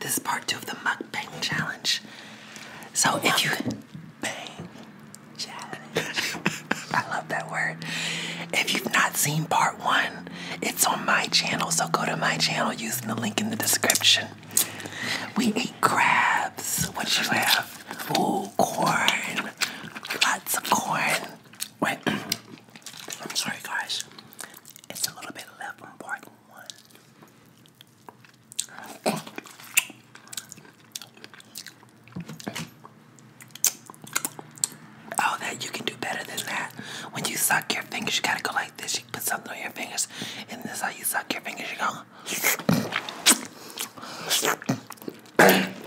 This is part two of the Muck Bang challenge. So if you bang challenge, I love that word. If you've not seen part one, it's on my channel. So go to my channel using the link in the description. We ate crabs. What did you have? Oh, corn. Lots of corn. Wait. I'm sorry, guys. It's a little bit left on part Oh, that you can do better than that. When you suck your fingers, you gotta go like this. You put something on your fingers, and this is how you suck your fingers. You go.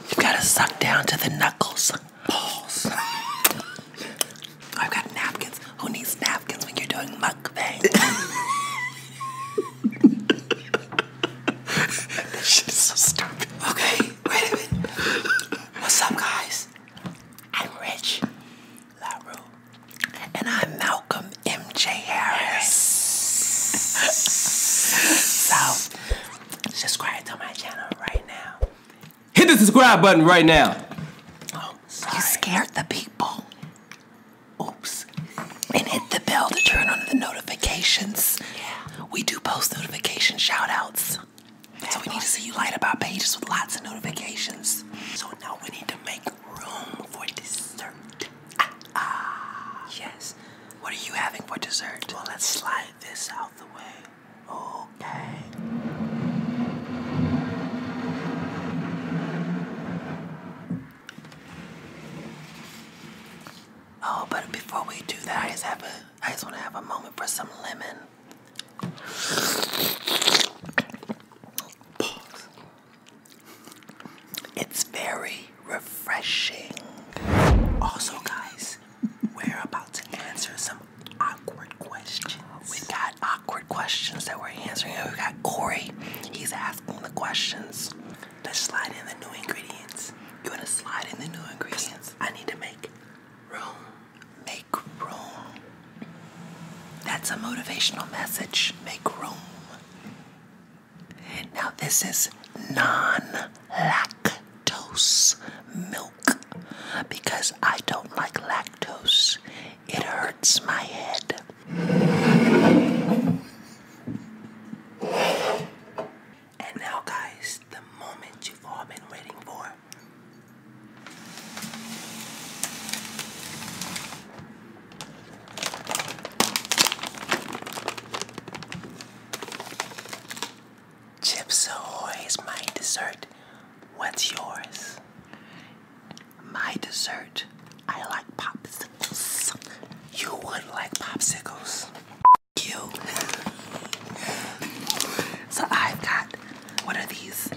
you gotta suck down to the knuckles. Balls. I've got napkins. Who needs napkins when you're doing mukbang? that shit so stupid. Okay, wait a minute. What's up, guys? I'm Rich LaRue. And I'm Malcolm MJ Harris. so, subscribe to my channel right now Hit the subscribe button right now. You scared the people. Oops. And hit the bell to turn on the notifications. Yeah. We do post notification shout outs. so we need to see you light about pages with lots of notifications. So now we need to make room for dessert. Ah, ah. Yes. What are you having for dessert? Well, let's slide this out the way. Okay. Oh, but before we do that, I just have a I just want to have a moment for some lemon. Pause. It's very refreshing. Also, guys, we're about to answer some awkward questions. We got awkward questions that we're answering. We got Corey. He's asking the questions. Let's slide in the new ingredients. You want to slide in the new ingredients? I need to make room. Make room. That's a motivational message. Make room. Now, this is non lactose milk because I don't like lactose. It hurts my head. And now, guys, the moment you've all been waiting for. Chips Ahoy is my dessert. What's yours? My dessert. I like popsicles. You would like popsicles. You. so I've got what are these?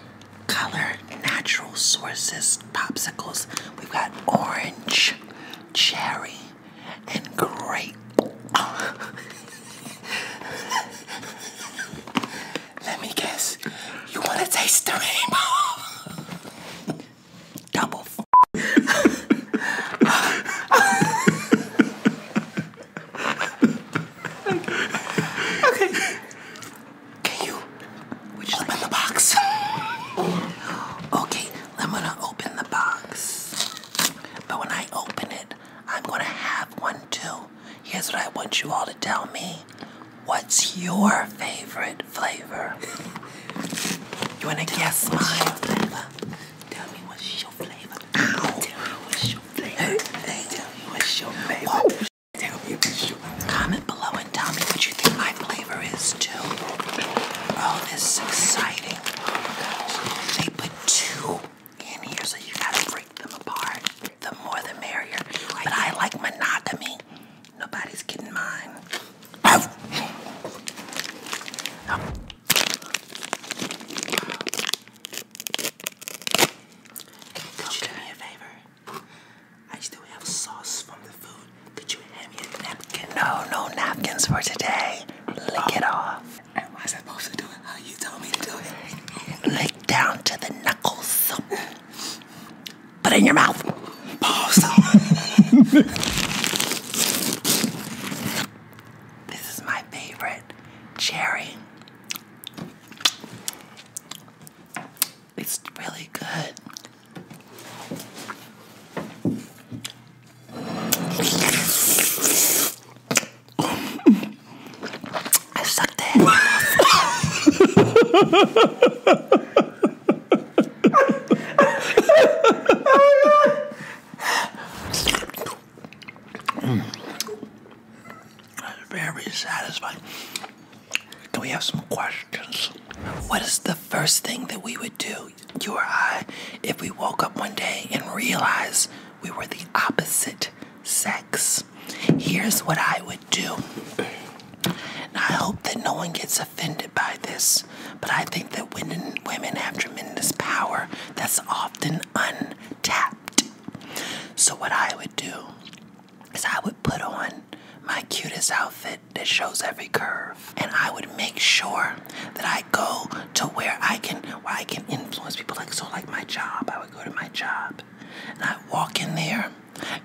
Color natural sources popsicles. We've got orange, cherry, and grape. Let me guess. You want to taste the rainbow? Double. okay. okay. Can you Which open the box? okay, I'm gonna open the box. But when I open it, I'm gonna have one too. Here's what I want you all to tell me. What's your favorite flavor? You wanna tell guess mine? Tell me what's your flavor. Ow. Tell me what's your flavor. Hey, hey. Tell me what's your flavor. Tell me what's your flavor. Comment below and tell me what you think my flavor is too. Oh, this is exciting. They put two in here, so you gotta break them apart. The more the merrier. But I like monogamy. Nobody's getting mine. Could you do me a favor? I still have sauce from the food. Could you hand me a napkin? No, no napkins for today. Lick oh. off. And am supposed to do it how you tell me to do it? Lick down to the knuckles. Put it in your mouth. Pause. this is my favorite cherry. It's really good. I sucked the Very satisfying. Do we have some questions? What is the first thing that we would do you or I, if we woke up one day and realized we were the opposite sex, here's what I would do. I hope that no one gets offended by this, but I think that women, women have tremendous power that's often untapped. So, what I would do is I would put on my cutest outfit that shows every curve and I would make sure that I go to where I can where I can influence people like so like my job I would go to my job and I walk in there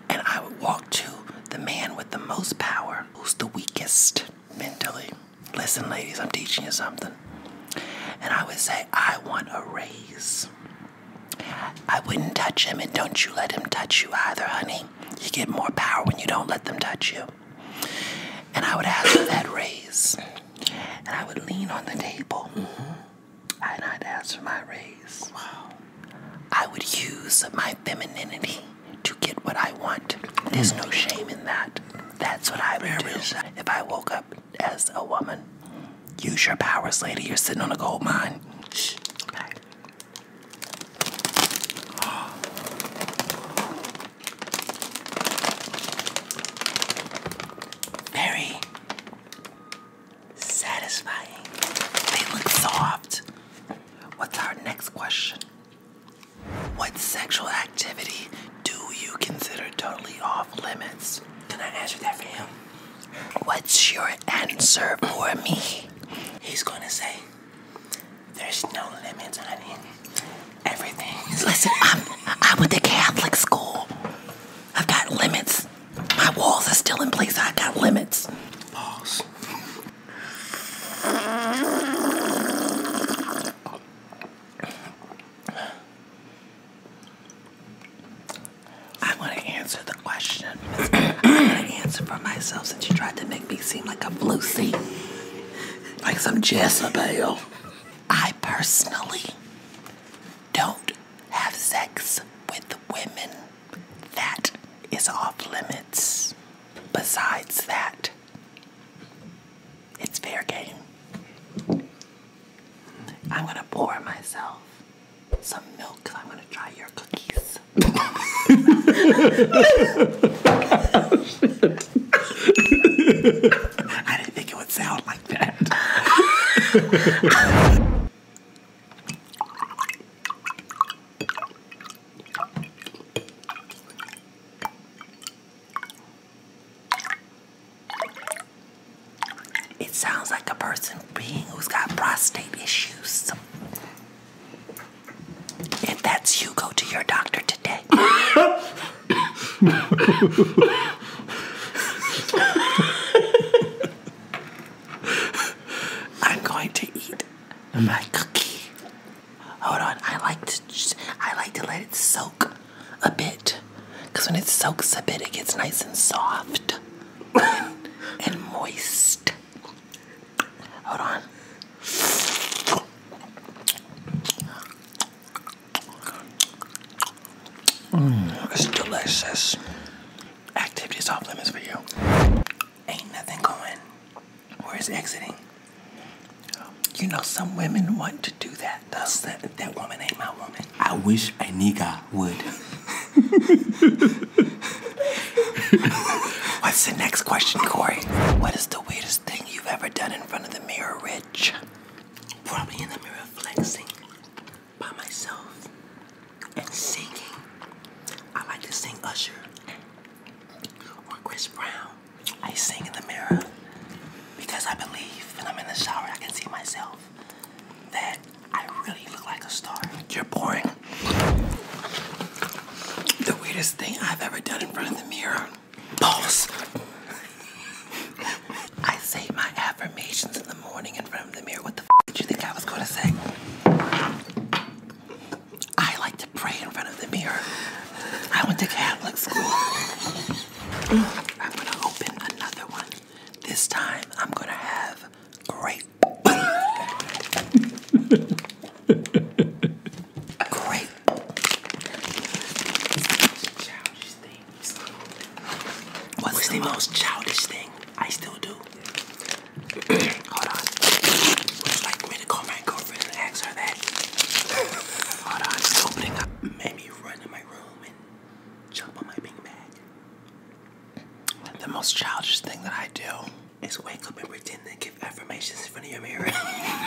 and I would walk to the man with the most power who's the weakest mentally listen ladies I'm teaching you something and I would say I want a raise I wouldn't touch him and don't you let him touch you either honey you get more power when you don't let them touch you and I would ask for that raise. And I would lean on the table. Mm-hmm. And I'd ask for my raise. I would use my femininity to get what I want. There's no shame in that. That's what I would do if I woke up as a woman. Use your powers, lady. You're sitting on a gold mine. Very satisfying. They look soft. What's our next question? What sexual activity do you consider totally off limits? Can I answer that for him? What's your answer for me? He's gonna say there's no limits, honey. Everything. Listen, I'm, I went to Catholic school. I've got limits. My walls are still in place. I've got limits. Walls. I want to answer the question. I want to answer for myself since you tried to make me seem like a blue sea, like some Jezebel. I personally don't have sex with women. That is off limits. Besides that, it's fair game. I'm gonna pour myself some milk. I'm gonna try your cookies. I didn't think it would sound like that. it sounds like a person being who's got prostate issues. If that's you, go to your doctor today. I'm going to eat my cookie. Hold on, I like to I like to let it soak a bit, cause when it soaks a bit, it gets nice and soft and moist. Hold on. Mm, it's delicious. Activities off limits for you. Ain't nothing going. Where is exiting? You know, some women want to do that. That's that, that woman ain't my woman. I wish a nigga would. What's the next question, Corey? What is the weirdest thing you've ever done in front of the mirror, Rich? Probably in the mirror flexing by myself and singing. I like to sing Usher or Chris Brown. I sing in the mirror because I believe when I'm in the shower I can see myself that I really look like a star. You're boring. The weirdest thing I've ever done in front of the mirror. Pause. I say my affirmations in the morning in front of the mirror. What the f did you think I was gonna say? I like to pray in front of the mirror. I went to Catholic school. I'm gonna open another one. This time I'm gonna have great, grape. What's, the, most childish thing I still do? Hold on. Would you like me to call my girlfriend and ask her Hold on, just opening up. Maybe run in my room and jump on my beanbag. The most childish thing that I do is wake up and pretend and give affirmations in front of your mirror. I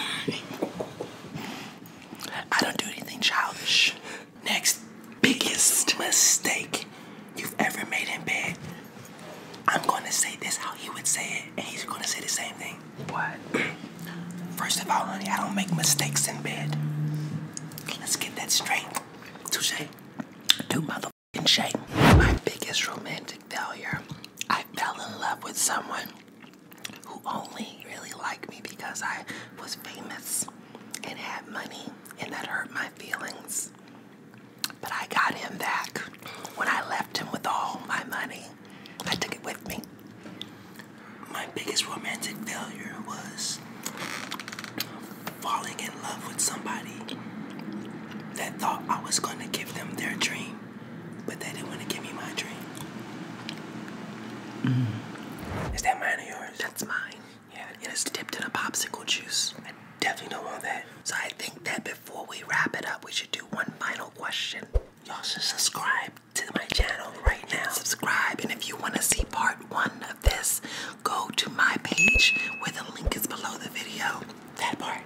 don't do anything childish. Next biggest mistake you've ever made in bed. I'm going to say this how he would say it, and he's going to say the same thing. What? First of all, honey, I don't make mistakes in bed. Let's get that straight. Touche. Do motherfucking shame. My biggest romantic failure. I fell in love with someone who only really liked me because I was famous and had money, and that hurt my feelings. But I got him back when I left him with all my money. I took it with me. My biggest romantic failure was falling in love with somebody that thought I was going to give them their dream, but they didn't want to give me my dream. Mm. Is that mine or yours? That's mine. Yeah, it's dipped in a popsicle juice. I definitely don't want that. So I think that before we wrap it up, we should do one final question. Y'all should subscribe to my channel right now. Subscribe, and if you want to see part one this, go to my page where the link is below the video. That part.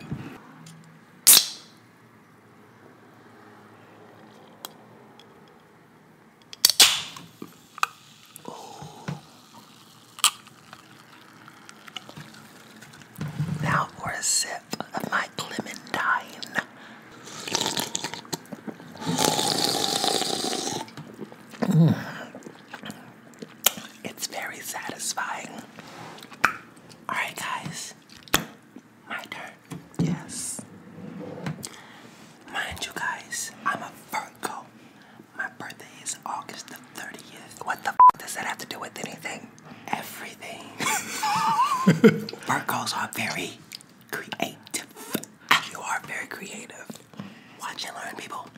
Now for a sip of my clementine. Mm. It's very satisfying. Alright, guys. My turn. Yes. Mind you, guys, I'm a Virgo. My birthday is August the 30th. What the does that have to do with anything? Everything. Virgos are very Creative. You are very creative. Watch and learn, people.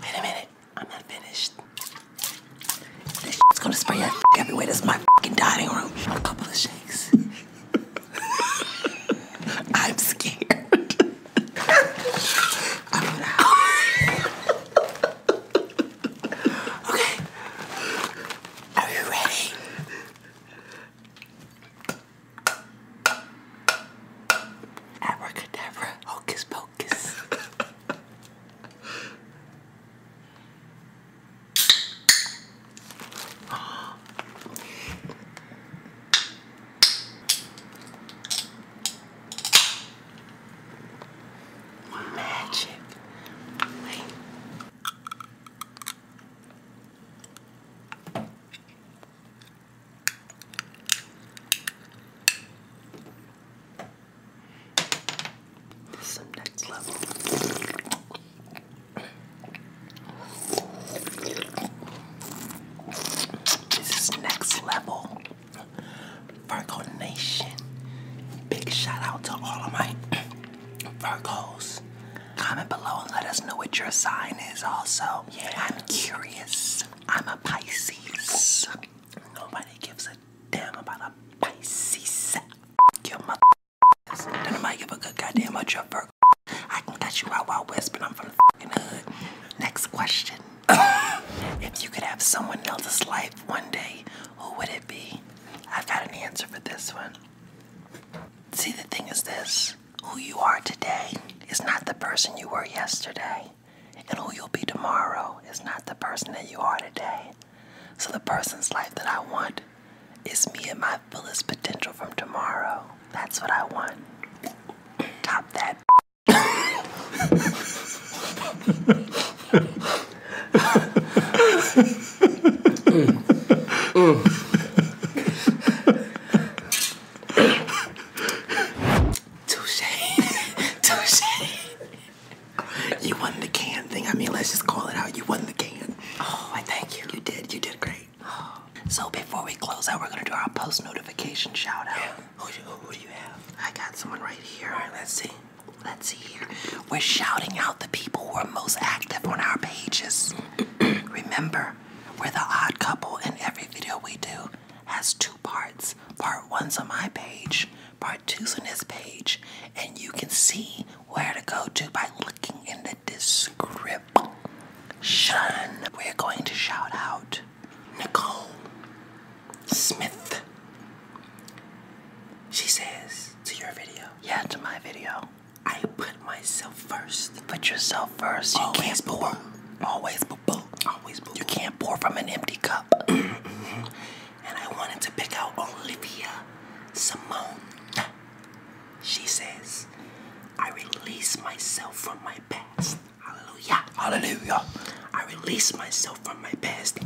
Wait a minute. I'm not finished. This is gonna spray everywhere. This my fucking dining room. A couple of shakes. I'm scared. Okay. Are you ready? Abracadabra, hocus pocus. Magic. Wait. Some next level. This is next level. Virgo Nation. Big shout out to all of my Virgos. Comment below and let us know what your sign is also. Yeah, I'm curious. I'm a Pisces. Nobody gives a damn about a Pisces. Your mother then I give a good goddamn much up for. I can cut you out while whispering. I'm from the hood. Next question. if you could have someone else's life one day, who would it be? I've got an answer for this one. See, the thing is this who you are today is not the person you were yesterday, and who you'll be tomorrow is not the person that you are today. So, the person's life that I want it's me and my fullest potential from tomorrow. That's what I want. Top that. Touche. Touche. You won the can thing. I mean, let's just call it out. You won the can. Oh, I thank you. You did. You did great. Oh. So before we close out, we're gonna do our post notification shout out. Yeah. Who, who, who do you have? I got someone right here. All right, let's see. Let's see here. We're shouting out the people who are most active on our pages. Remember, we're the odd couple, and every video we do has two parts. Part one's on my page, part two's on his page, and you can see where to go to by looking in the description. We're going to shout out Nicole Smith. She says to your video, yeah, to my video. I put myself first. Put yourself first. You can't pour. Always boo Always boo, You can't pour from an empty cup. and I wanted to pick out Olivia Simone. She says, I release myself from my past. Hallelujah. Hallelujah. I release myself from my past.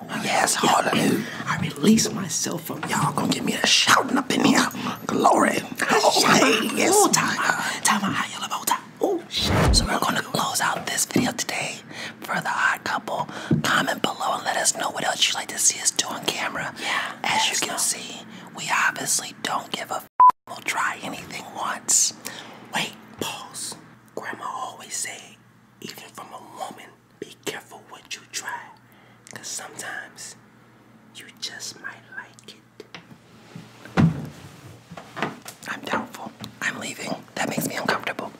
Oh, yes, hallelujah. I release myself from y'all gonna give me a shoutin' up in here. Glory. Oh, hey, yes. Oh, time. Time I yell about time. Oh, shit. So we're gonna close out this video today for the odd couple. Comment below and let us know what else you'd like to see us do on camera. Yeah. As you can see, we obviously don't give a f we'll try anything once. Wait, pause. Grandma always said, even from a woman, be careful what you try. Cause sometimes you just might like it. I'm doubtful. I'm leaving. That makes me uncomfortable.